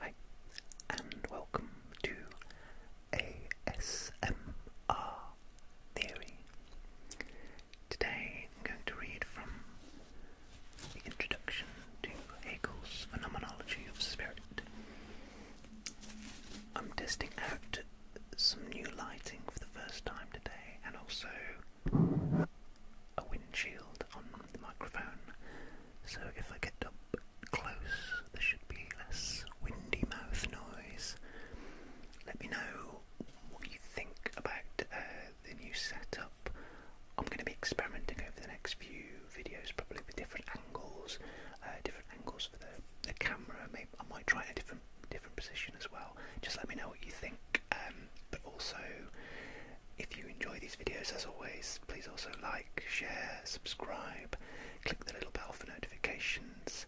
Hi, and welcome to ASMR Theory. Today I'm going to read from the introduction to Hegel's Phenomenology of Spirit. I'm testing out some new lighting for the first time today and also a windshield on the microphone, so if I get up close, there should be less windy mouth noise. Let me know what you think about uh, the new setup. I'm going to be experimenting over the next few videos, probably with different angles, uh, different angles for the, the camera. Maybe I might try a different different position as well. Just let me know what you think. Um, but also, if you enjoy these videos, as always, please also like, share, subscribe, click the little bell for notifications.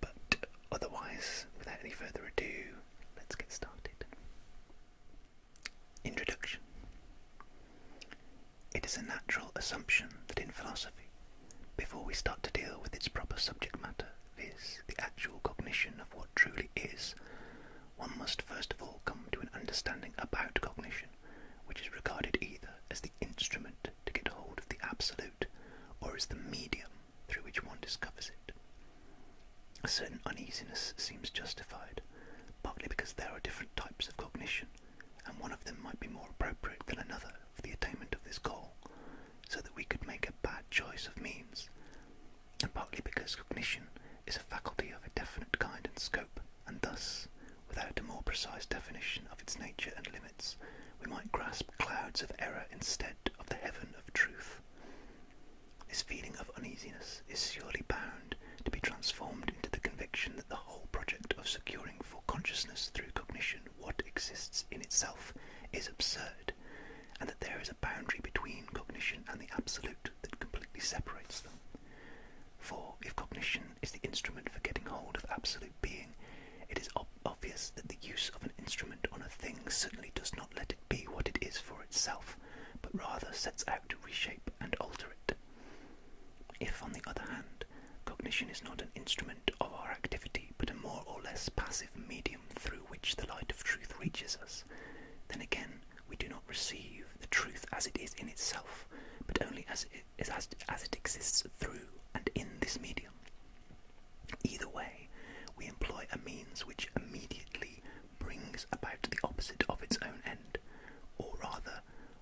But otherwise, without any further ado, let's get started. Introduction It is a natural assumption that in philosophy, before we start to deal with its proper subject matter, viz., the actual cognition of what truly is, one must first of all come to an understanding about cognition, which is regarded either as the instrument to get hold of the absolute or as the medium through which one discovers it. A certain uneasiness seems justified, partly because there are different types of cognition, and one of them might be more appropriate than another for the attainment of this goal, so that we could make a bad choice of means, and partly because cognition is a faculty of a definite kind and scope, and thus, without a more precise definition of its nature and limits, we might grasp clouds of error instead of the heaven of truth. This feeling of uneasiness is surely bound to be transformed into the conviction that the whole project of securing for consciousness through cognition what exists in itself is absurd, and that there is a boundary between cognition and the absolute, that completely separates them. For if cognition is the instrument for getting hold of absolute being, it is obvious that the use of an instrument on a thing certainly does not let it be what it is for itself, but rather sets out to reshape and alter it. If, on the other hand, cognition is not an instrument of our activity, but a more or less passive medium through which the light of truth reaches us, then again we do not receive the truth as it is in itself, but only as it exists through and in this medium. Either way, we employ a means which immediately brings about the opposite of its own end, or rather,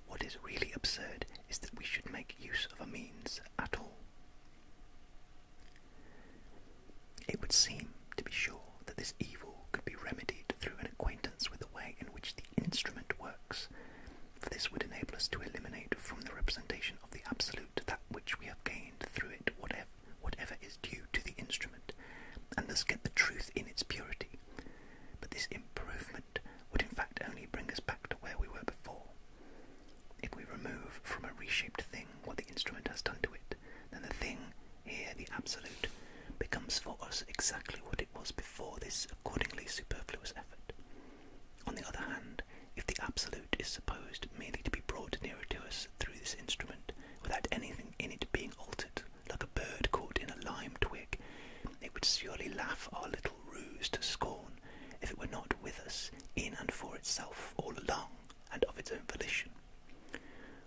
what is really absurd is that we should make use of a means at all. It would seem, to be sure, that this evil could be remedied through an acquaintance with the way in which the instrument works, for this would enable us to eliminate from the representation of the absolute that which we have gained through it whatever, is due to the instrument, and thus get the truth in its purity. But this improvement would in fact only bring us back to where we were before. If we remove from a reshaped thing what the instrument has done to it, then the thing here, the absolute, becomes for us exactly what it was before this accordingly superfluous effort. On the other hand, if the absolute is supposed merely to be brought nearer to us through this instrument, without anything in it being altered, like a bird caught in a lime twig, it would surely laugh our little ruse to scorn if it were not with us in and for itself all along and of its own volition.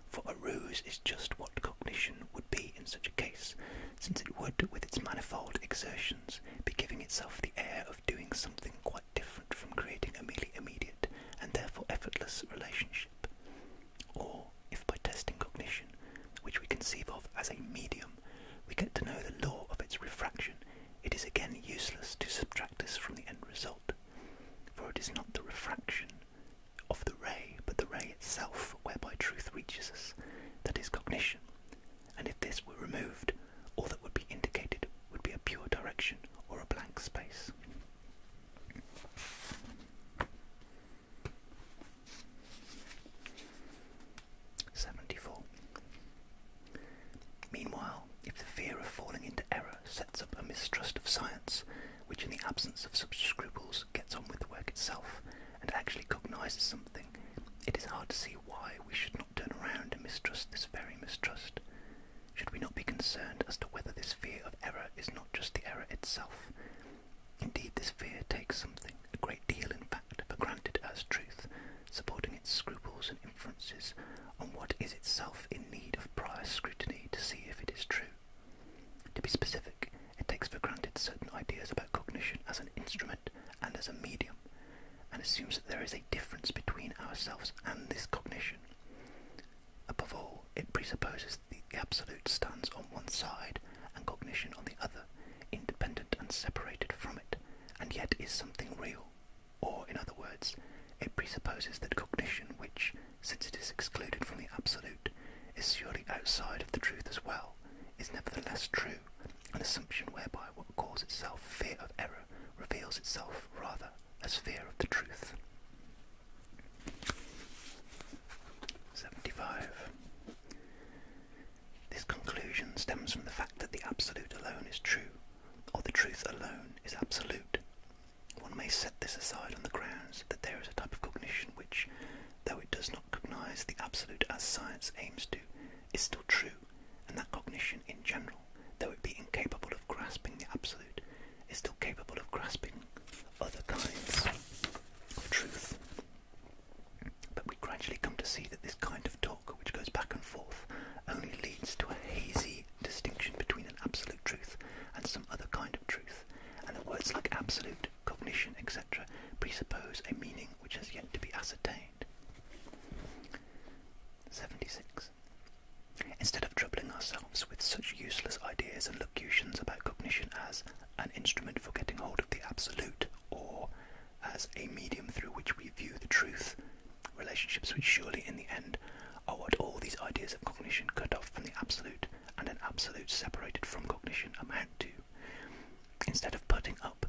For a ruse is just what cognition would be in such a case, since it would, with its manifold exertions, be giving itself the air of doing something quite different from creating a merely immediate and therefore effortless relationship. Or, if by testing cognition, which we conceive of as a medium, we get to know the law of its refraction, it is again useless to subtract this from the end result, for it is not the refraction of the ray, but the ray itself whereby truth reaches us, that is cognition. And if this were removed, all that would be indicated would be a pure direction or a blank space. Seventy four. Meanwhile, if the fear of falling into error sets up a mistrust of science, which in the absence of such scruples gets on with the work itself and actually cognises something, it is hard to see why we should not turn around and mistrust this very mistrust. Should we not be concerned as to whether this fear of error is not just the error itself? Indeed, this fear takes something, a great deal in fact, for granted as truth, supporting its scruples and inferences on what is itself in need of prior scrutiny to see if it is true. To be specific, it takes for granted certain ideas about cognition as an instrument and as a medium, and assumes that there is a difference between ourselves and this cognition. Above all, it presupposes the absolute stands on one side and cognition on the other, independent and separated from it, and yet is something real. Or, in other words, it presupposes that cognition, which, since it is excluded from the absolute, is surely outside of the truth as well, is nevertheless true, an assumption whereby what calls itself fear of error reveals itself rather as fear of the truth. 75. This conclusion stems from the fact that the absolute alone is true, or the truth alone is absolute. One may set this aside on the ground that there is a type of cognition which, though it does not cognize the absolute as science aims to, is still true, and that cognition in general, though it be incapable of grasping the absolute, is still capable of grasping other kinds of truth. But we gradually come to see that this kind of talk, which goes back and forth, only leads to a hazy distinction between an absolute truth and some other kind of truth, and the words like absolute cognition, etc., presuppose a meaning which has yet to be ascertained. 76. Instead of troubling ourselves with such useless ideas and locutions about cognition as an instrument for getting hold of the absolute, or as a medium through which we view the truth, relationships which surely in the end are what all these ideas of cognition cut off from the absolute, and an absolute separated from cognition amount to? Instead of putting up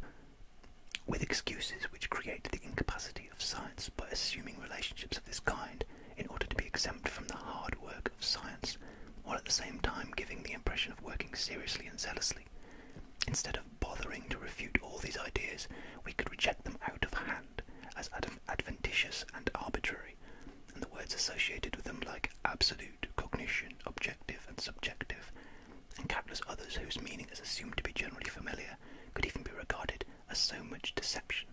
with excuses which create the incapacity of science by assuming relationships of this kind in order to be exempt from the hard work of science, while at the same time giving the impression of working seriously and zealously, instead of bothering to refute all these ideas, we could reject them out of hand as adventitious and arbitrary, and the words associated with them like absolute, cognition, objective, and subjective, and countless others whose meaning is assumed to be generally familiar could even be regarded as so much deception.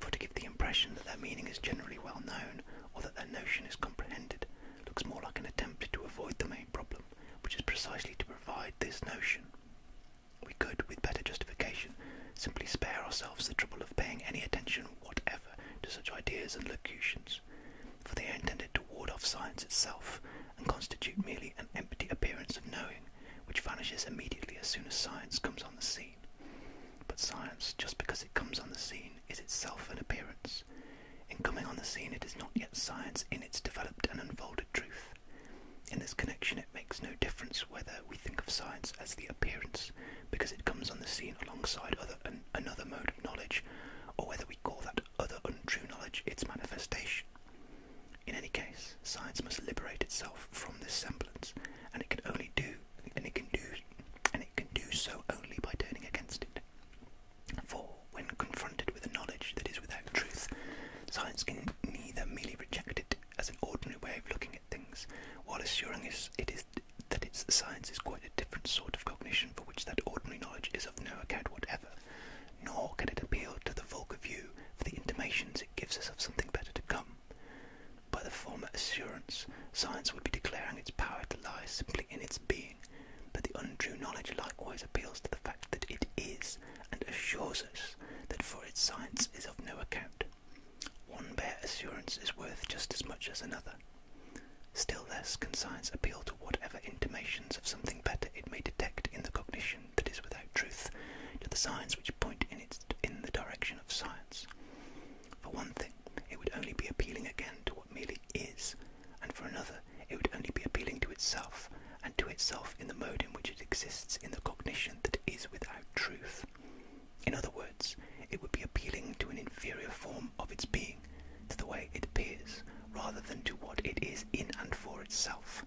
For to give the impression that their meaning is generally well known or that their notion is comprehended looks more like an attempt to avoid the main problem, which is precisely to provide this notion. We could, with better justification, simply spare ourselves the trouble of paying any attention whatever to such ideas and locutions, for they are intended to ward off science itself and constitute merely an empty appearance of knowing, which vanishes immediately as soon as science comes on the scene. But science, just because it comes on the scene, is itself an appearance. In coming on the scene, it is not yet science in its developed and unfolded truth. In this connection, it makes no difference whether we think of science as the appearance because it comes on the scene alongside other another mode of knowledge, or whether we call that other untrue knowledge its manifestation. In any case, science must liberate itself from this semblance, and it can only do and it can do and it can do so only by turning against it. For when confronted with a knowledge that is without truth, science can neither merely reject it as an ordinary way of looking at things, while assuring us it is that its science is quite a different sort of cognition for which that ordinary knowledge is of no account whatever, nor can it appeal to the vulgar view for the intimations it gives us of something better to come. By the former assurance, science would be declaring its power to lie simply in its being, but the untrue knowledge likewise appeals to the fact that it is, and assures us that for its science is of no account, one bare assurance is worth just as much as another. Still less can science appeal to whatever intimations of something better it may detect in the cognition that is without truth, to the signs which point in, its, in the direction of science. For one thing, it would only be appealing again to what merely is, and for another, it would only be appealing to itself, and to itself in the mode in which it exists in the cognition that is without truth. In other words, it would be appealing to an inferior form of its being, to the way it appears, rather than to what it is in and for itself.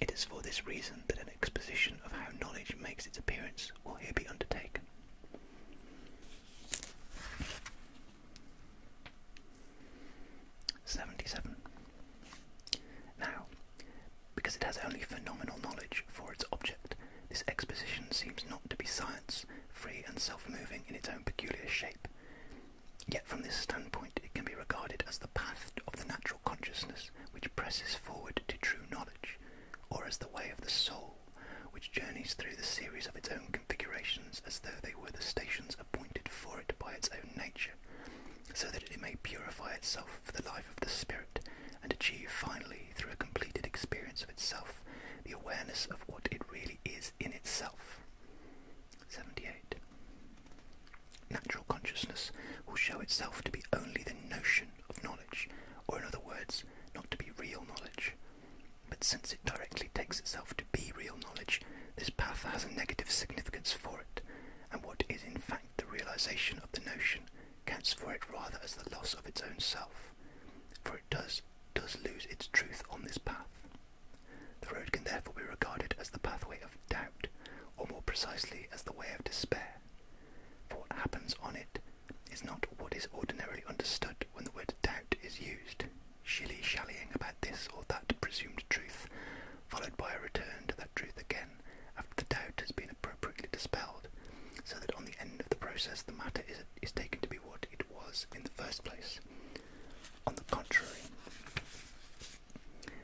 It is for this reason that an exposition of how knowledge makes its appearance will here be undertaken. Seventy-seven. Now, because it has only phenomenal knowledge for its object, this exposition seems not to be science, free and self-moving in its own peculiar shape. Yet from this standpoint it can be regarded as the path of the natural consciousness which presses forward to true knowledge, or as the way of the soul, which journeys through the series of its own configurations as though they were the stations appointed for it by its own nature, so that it may purify itself for the life of the spirit, and achieve finally, through a completed experience of itself, the awareness of what it really is in itself. 78. Natural consciousness will show itself to be only the notion of knowledge, or in other words, not to be real knowledge. But since it directly takes itself to be real knowledge, this path has a negative significance for it, and what is in fact the realization of the notion counts for it rather as the loss of its own self, for it does, does lose its truth on this path. The road can therefore be regarded as the pathway of doubt, or more precisely as the way of despair, for what happens on it is not what is ordinarily understood when the word doubt is used, shilly-shallying about this or that presumed truth, followed by a return to that truth again after the doubt has been appropriately dispelled, so that on the end of the process the matter is, is taken to be what it was in the first place. On the contrary,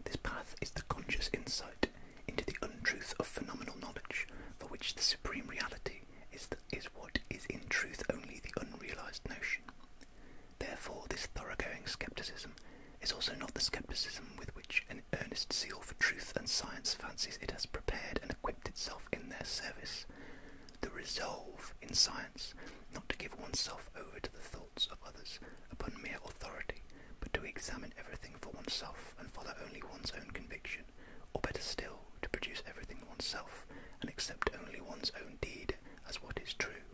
this path is the conscious insight into the untruth of phenomenal knowledge, for which the supreme reality is, is what is in truth only the unrealized notion. Therefore, this thoroughgoing skepticism is also not the skepticism with which an earnest zeal for truth and science fancies it has prepared and equipped itself in their service, the resolve in science not to give oneself over to the thoughts of others upon mere authority, but to examine everything for oneself and follow only one's own conviction, or better still, to produce everything oneself and accept only one's own deed as what is true.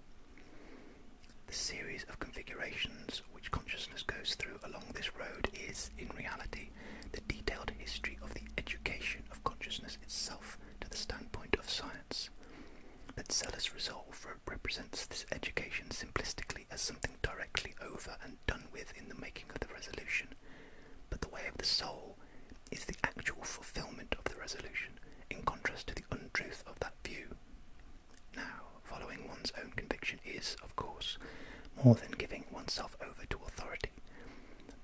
The series of configurations which consciousness goes through along this road is, in reality, the detailed history of the education of consciousness itself to the standpoint of science. That Zeller's resolve represents this education simplistically as something directly over and done with in the making of the resolution, but the way of the soul is the actual fulfillment of the resolution, in contrast to the untruth of that view. Now, following one's own conviction is, of course, more than giving oneself over to authority,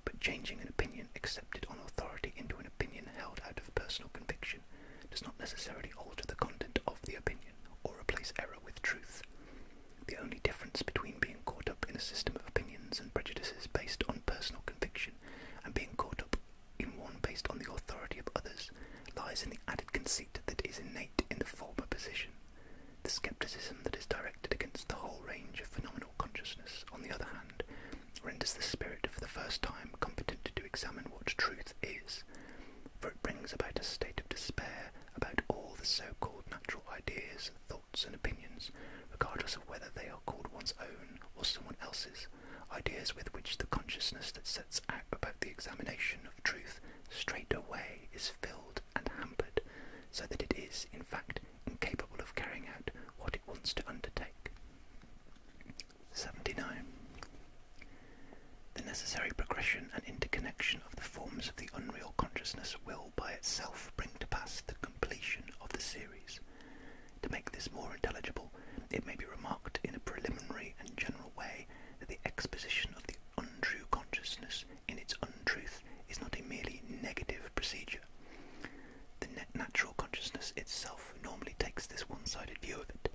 but changing an opinion accepted on authority into an opinion held out of personal conviction does not necessarily alter the content of the opinion or replace error with truth. The only difference between being caught up in a system of opinions and prejudices based on personal conviction and being caught up in one based on the authority of others lies in the added conceit that is innate in the former position, the scepticism that is directed against the whole range of phenomena consciousness, on the other hand, renders the spirit for the first time competent to examine what truth is, for it brings about a state of despair about all the so-called natural ideas, thoughts and opinions, regardless of whether they are called one's own or someone else's, ideas with which the consciousness that sets out about the examination of truth straight away is filled and hampered, so that it is, in fact, incapable of carrying out what it wants to undertake. 79. The necessary progression and interconnection of the forms of the unreal consciousness will by itself bring to pass the completion of the series. To make this more intelligible, it may be remarked in a preliminary and general way that the exposition of the untrue consciousness in its untruth is not a merely negative procedure. The natural consciousness itself normally takes this one-sided view of it,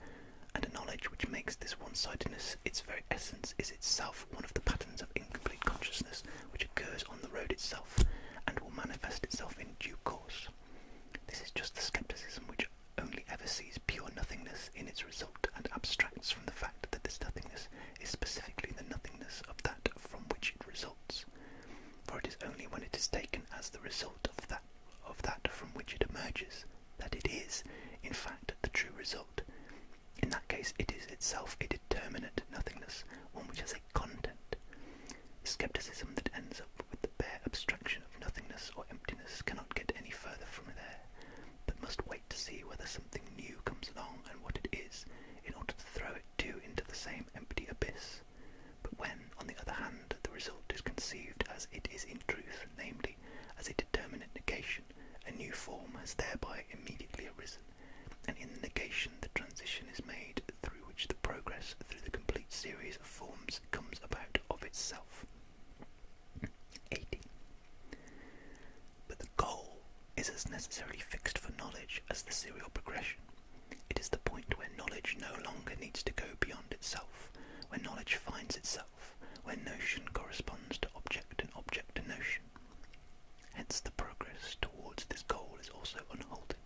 and a knowledge which makes this one-sidedness its very essence is itself one of the patterns of incomplete consciousness which occurs on the road itself and will manifest itself in due course. This is just the scepticism which only ever sees pure nothingness in its result and abstracts from the fact that this nothingness is specifically the nothingness of that from which it results for it is only when it is taken as the result of that, of that from which it emerges that it is, in fact, the true result. In that case, it is itself a determinate nothingness, one which has a content. Skepticism that ends up with the bare abstraction of nothingness or emptiness cannot get any further from there, but must wait to see whether something new comes along and what it is, in order to throw it too into the same empty abyss, but when, on the other hand, the result is conceived as it is in truth, namely, as a determinate negation, a new form has thereby immediately arisen, and in the negation the transition is made through which the progress through the complete series of forms comes about of itself. But the goal is as necessarily fixed for knowledge as the serial progression. It is the point where knowledge no longer needs to go beyond itself, where knowledge finds itself, where notion corresponds to object and object to notion. Hence the progress towards this goal is also unhalting,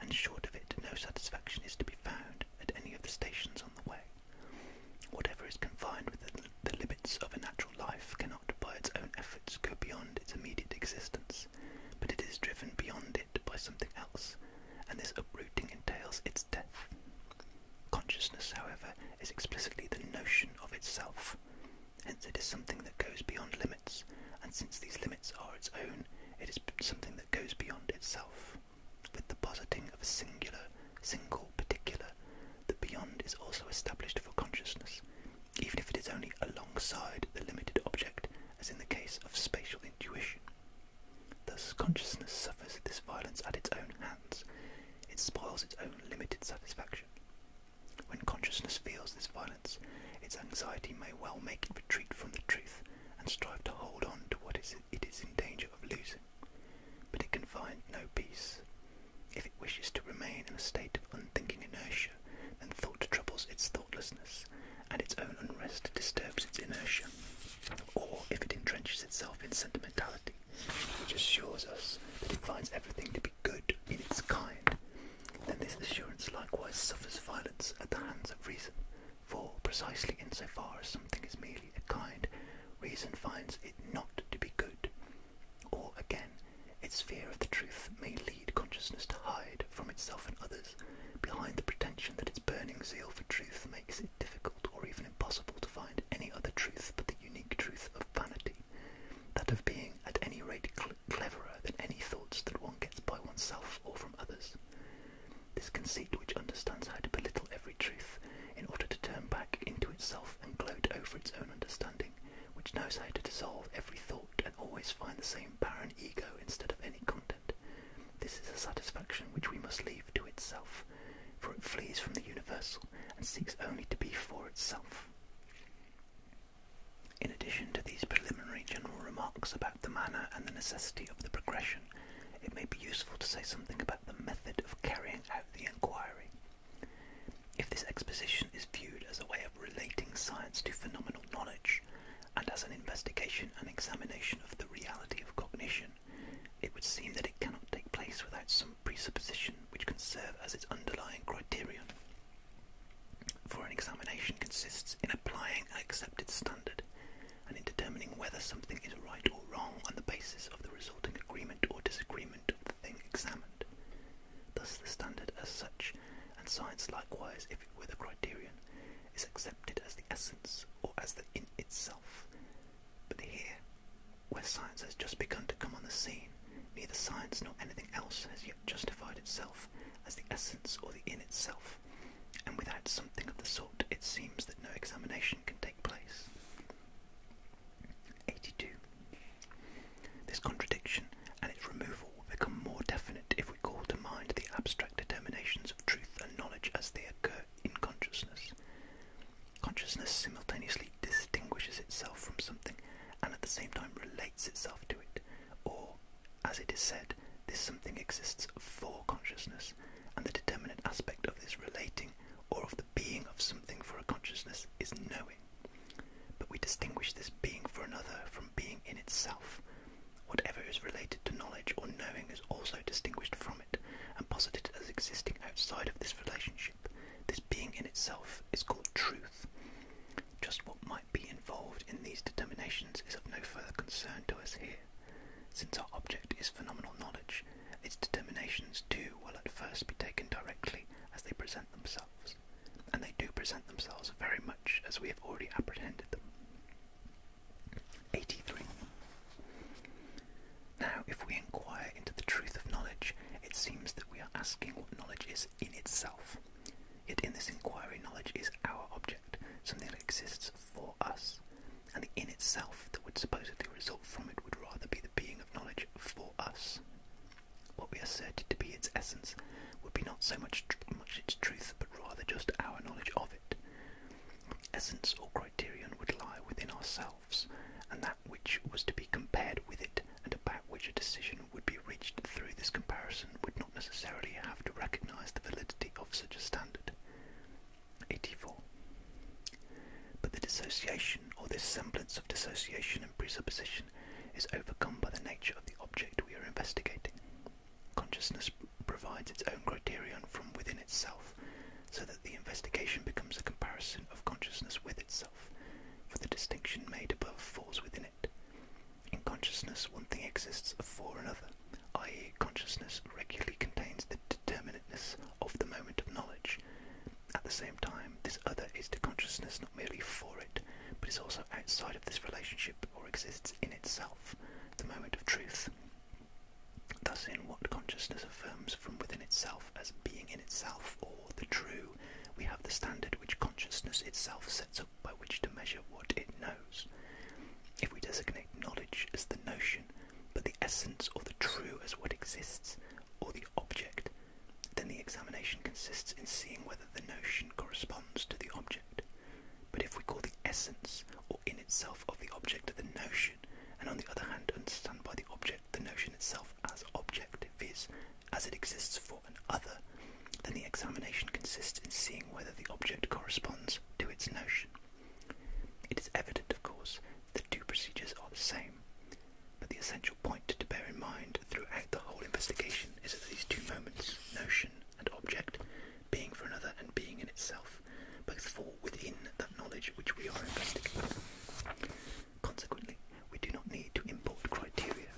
and short of it no satisfaction is to be found at any of the stations on the way. Whatever is confined within the limits of a natural life cannot by its own efforts go beyond its immediate existence but it is driven beyond it by something else, and this uprooting entails its death. Consciousness, however, is explicitly the notion of itself. Hence, it is something that goes beyond limits, and since these limits are its own, it is something that goes beyond itself. With the positing of a singular, single particular, the beyond is also established for consciousness even if it is only alongside the limited object, as in the case of spatial intuition. Thus, consciousness suffers this violence at its own hands. It spoils its own limited satisfaction. When consciousness feels this violence, its anxiety may well make it retreat from the truth and strive to hold on to what it is in danger of losing. But it can find no peace. If it wishes to remain in a state of unthinking inertia, and thought troubles its thoughtlessness, and its own unrest disturbs its inertia, or if it entrenches itself in sentimentality, which assures us that it finds everything to be good in its kind, then this assurance likewise suffers violence at the hands of reason, for precisely in so far as something is merely a kind, reason finds it not to be good, or again, its fear of the truth may lead consciousness to hide from itself and others behind the pretension that its burning zeal for truth makes it difficult or even impossible to find any other truth but the unique truth of vanity, that of being at any rate cleverer than any thoughts that one gets by oneself or from others. This conceit, which understands how to belittle every truth in order to turn back into itself and gloat over its own understanding, which knows how to dissolve every thought and always find the same barren ego instead of any content. This is a satisfaction which we must leave to itself, for it flees from the universal and seeks only to be for itself. In addition to these preliminary general remarks about the manner and the necessity of the progression, it may be useful to say something about the method of carrying out the inquiry. If this exposition is viewed as a way of relating science to phenomenal knowledge and as an investigation and examination of the reality of cognition, it would seem that it cannot take place without some presupposition which can serve as its underlying criterion. For an examination consists in applying an accepted standard and in determining whether something is right or wrong on the basis of the resulting agreement or disagreement of the thing examined. Thus the standard as such, and science likewise if it were the criterion, is accepted as the essence or as the in itself. But here, where science has just begun to come on the scene, neither science nor anything else has yet justified itself as the essence or the in itself, and without something of the sort it seems that no examination can take place. 82. This contradiction and its removal will become more definite if we call to mind the abstract determinations of truth and knowledge as they occur in consciousness. Consciousness simultaneously distinguishes itself from something and at the same time relates itself to it, or, as it is said, this something exists for consciousness, and the determinate aspect of this relating or of the being of something for a consciousness is knowing. But we distinguish this being for another from being in itself, Whatever is related to knowledge or knowing is also distinguished from it and posited as existing outside of this relationship. This being in itself is called truth. Just what might be involved in these determinations is of no further concern to us here. Since our object is phenomenal knowledge, its determinations too will at first be taken directly as they present themselves and they do present themselves very much as we have already apprehended them. 83. Now, if we inquire into the truth of knowledge, it seems that we are asking what knowledge is in itself. Yet in this inquiry, knowledge is our object, something that exists for us, and the in itself that would supposedly result from it would rather be the being of knowledge for us. What we asserted to be its essence would be not so much, its truth, but rather just our knowledge of it. Essence or criterion would lie within ourselves, and that which was to be compared with it and about which a decision would be reached through this comparison would not necessarily have to recognise the validity of such a standard. 84. But the dissociation, or this semblance of dissociation and presupposition, is overcome by the nature of the object we are investigating. Consciousness provides its own criterion from within itself, so that the investigation becomes a comparison of consciousness with itself, for the distinction made above falls within it. In consciousness, one thing exists for another, i.e., consciousness regularly contains the determinateness of the moment of knowledge. At the same time, this other is to consciousness not merely for it, but is also outside of this relationship or exists in itself, the moment of truth. Thus, in what consciousness affirms from within itself as being in itself or the true, we have the standard which consciousness itself sets up by which to measure what it knows. If we designate knowledge as the notion, but the essence or the true as what exists, or the object, then the examination consists in seeing whether the notion corresponds to the object. But if we call the essence or in itself of the object the notion, and on the other hand understand by the object the notion itself as object, viz., as it exists for an other, then the examination consists in seeing whether the object corresponds to its notion. It is evident, of course, that the two procedures are the same, but the essential point to bear in mind throughout the whole investigation is that these two moments, notion and object, being for another and being in itself, both fall within that knowledge which we are investigating. Consequently, we do not need to import criteria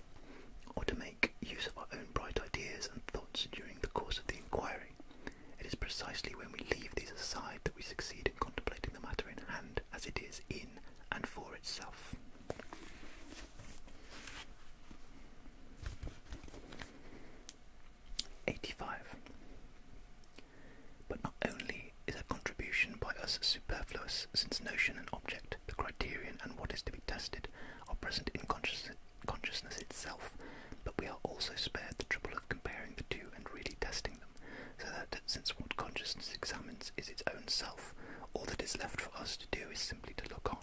or to make use of our own bright ideas and thoughts during the course of the inquiry. It is precisely when we leave these aside that we succeed in contemplating the matter in hand as it is in and for itself. 85. But not only is a contribution by us superfluous, since notion and object, the criterion and what is to be tested, are present in consciousness itself, but we are also spared the trouble of comparing the two and really testing them, so that since what consciousness examines is its own self, all that is left for us to do is simply to look on.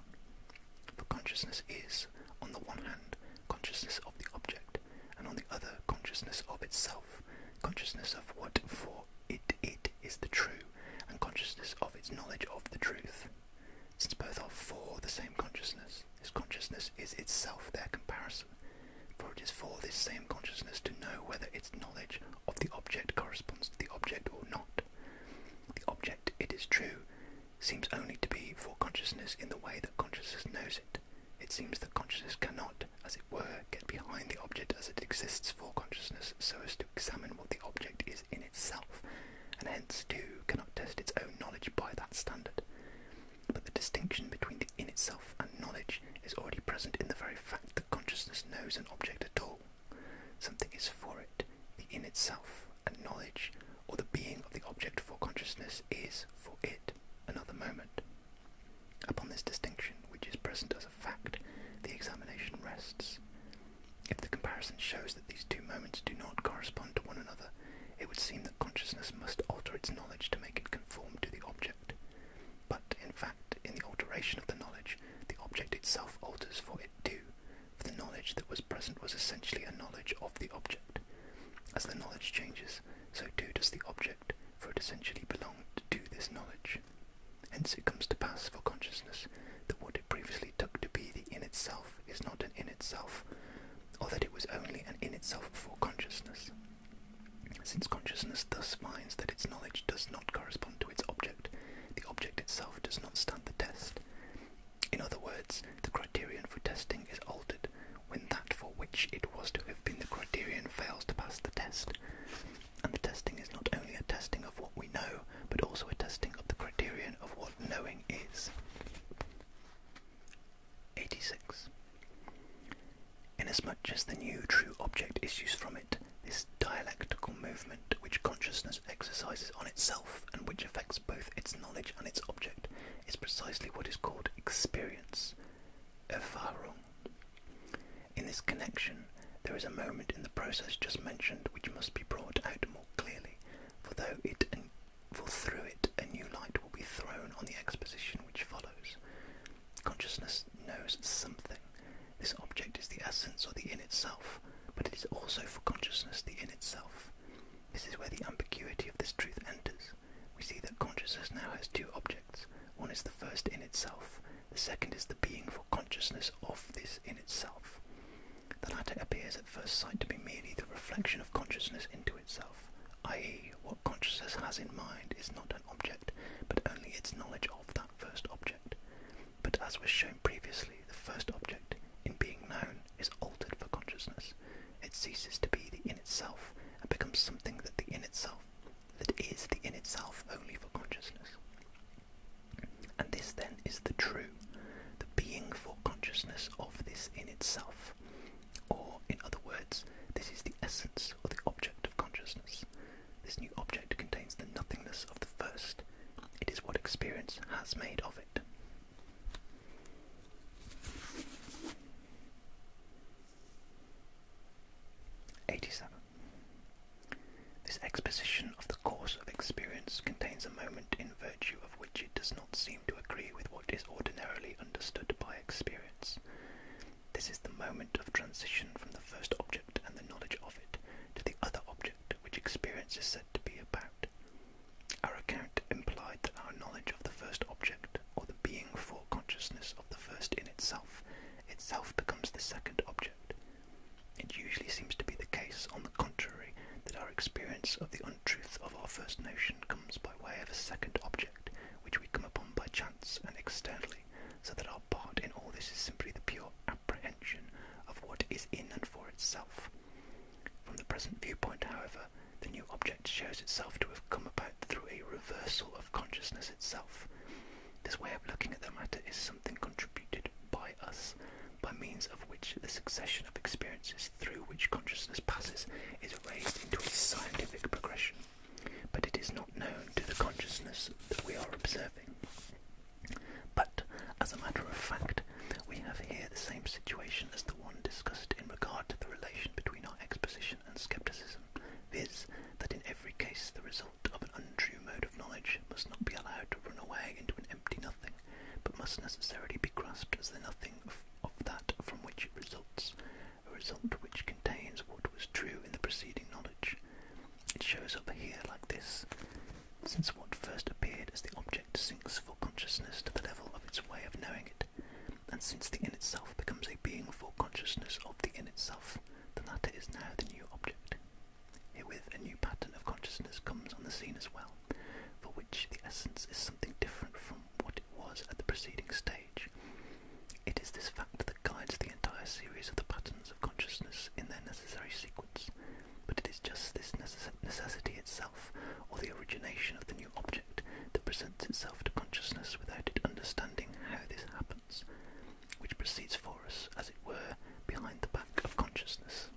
For consciousness is, on the one hand, consciousness of the object, and on the other, consciousness of itself, consciousness of what for it it is the true, and consciousness of its knowledge of the truth. Since both are for the same consciousness, this consciousness is itself their comparison, for it is for this same consciousness to know whether its knowledge of the object corresponds to the object or not. The object, it is true, seems only to be for consciousness in the way that consciousness knows it. It seems that consciousness cannot, as it were, get behind the object as it exists for consciousness so as to examine what the object is in itself, and hence, too, cannot test its own knowledge by that standard. But the distinction between the in itself and knowledge is already present in the very fact that consciousness knows an object at all. Something is for it, the in itself, and knowledge, or the being of the object for consciousness, is, for it, another moment. Upon this distinction, which is present as a fact, the examination rests. If the comparison shows that these two moments do not correspond to one another, it would seem that consciousness must alter its knowledge to make it conform to the object. But, in fact, in the alteration of the knowledge, the object itself alters for it too, for the knowledge that was present was essentially a knowledge of the object. As the knowledge changes, so too does the object, for it essentially belonged to this knowledge. Hence it comes to pass for consciousness that what it previously took to be the in itself is not an in itself, or that it was only an in itself before consciousness. Since consciousness thus finds that its knowledge does not correspond to its object, the object itself does not stand the test. In other words, the criterion for testing is altered when that for which it was to have been the criterion fails to pass the test. And the testing is not only a testing of what we know, but also a testing of the criterion of what knowing is. 86. Inasmuch as the new true object issues from it, this dialectical movement which consciousness exercises on itself and which affects both its knowledge and its object is precisely what is called experience, erfahrung. In this connection, there is a moment in the process just mentioned which must be brought out more clearly, for though it and for through it a new light will be thrown on the exposition which follows. Consciousness knows something. This object is the essence or the in itself, but it is also for consciousness the in itself. This is where the ambiguity of this truth enters. We see that consciousness now has two objects. One is the first in itself, the second is the being for consciousness of this in itself. The latter appears at first sight to be merely the reflection of consciousness into itself, i.e., what consciousness has in mind is not an object, but only its knowledge of that first object. But as was shown previously, the first object, in being known, is altered for consciousness. It ceases to be the in itself and becomes something that the in itself that is the in itself only for consciousness. And this then is the true, the being for consciousness of this in itself. Or, in other words, this is the essence or the object of consciousness. This new object contains the nothingness of the first. It is what experience has made of it. 87. This exposition of the course of experience contains a moment in virtue of which it does not seem to agree with what is ordinarily understood by experience. This is the moment of transition from the first object and the knowledge of it to the other object which experience is said to be about. Our account implied that our knowledge of the first object, or the being for consciousness of the first in itself, itself becomes the second object. It usually seems to be the case, on the contrary, that our experience of the untruth of our first notion comes by way of a second object, which we come upon by chance and externally, so that our part in all this is simply the pure apprehension of what is in and for itself, from the present viewpoint, however, the new object shows itself to have come about through a reversal of consciousness itself. This way of looking at the matter is something contributed by us, by means of which the succession of experiences through which consciousness passes is raised into a scientific progression, but it is not known to the consciousness that we are observing. But, as a matter of fact, we have here the same situation as the one discussed in regard to the relation between our exposition and scepticism, viz., that in every case the result of an untrue mode of knowledge must not be allowed to run away into an empty nothing, but must necessarily be grasped as the nothing of, that from which it results, a result which contains what was true in the preceding knowledge. It shows up here like this. Since what first appeared as the object sinks full consciousness to the level of its way of knowing it, and since the in itself becomes a being full consciousness of the in itself, the latter is now the new object. Herewith a new pattern of consciousness comes on the scene as well, for which the essence is something different from what it was at the preceding stage. It is this fact that guides the entire series of the patterns of consciousness in their necessary sequence, but it is just this necessity itself or the origination of the new object that presents itself to consciousness without it understanding how this happens, which proceeds for us, as it were, behind the back of consciousness.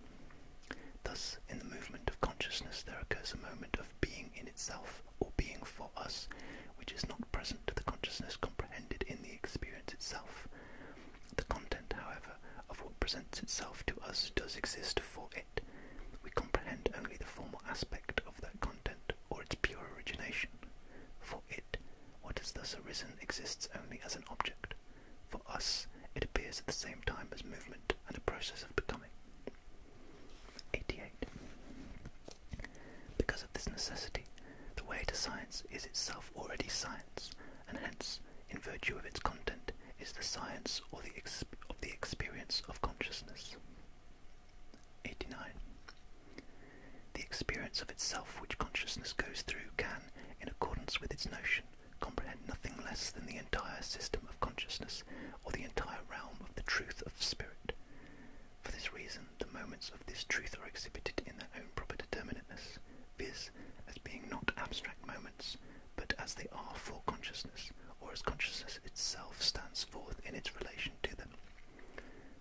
Thus, in the movement of consciousness, there occurs a moment of being in itself or being for us, which is not present to the consciousness comprehended in the experience itself. The content, however, of what presents itself to us does exist for it. We comprehend only the formal aspect of that content or its pure origination. For it, what has thus arisen exists only as an object. For us, it appears at the same time as movement and a process of becoming. 88. Because of this necessity, the way to science is itself already science, and hence in virtue of its content, is the science or the of the experience of consciousness. 89. The experience of itself which consciousness goes through can, in accordance with its notion, comprehend nothing less than the entire system of consciousness or the entire realm of the truth of spirit. For this reason, the moments of this truth are exhibited in their own proper determinateness, viz., as being not abstract moments, but as they are for consciousness, or as consciousness itself stands forth in its relation to them.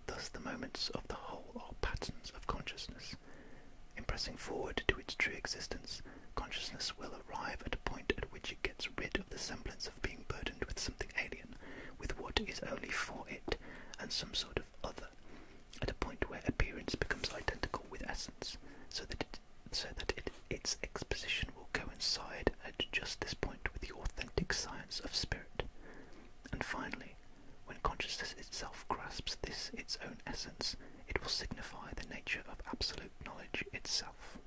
Thus the moments of the whole are patterns of consciousness. In pressing forward to its true existence, consciousness will arrive at a point at which it gets rid of the semblance of being burdened with something alien, with what is only for it, and some sort of other, at a point where appearance becomes identical with essence, so that it so that its exposition will coincide at just this point with the authentic science of spirit. And finally, when consciousness itself grasps this its own essence, it will signify the nature of absolute knowledge itself.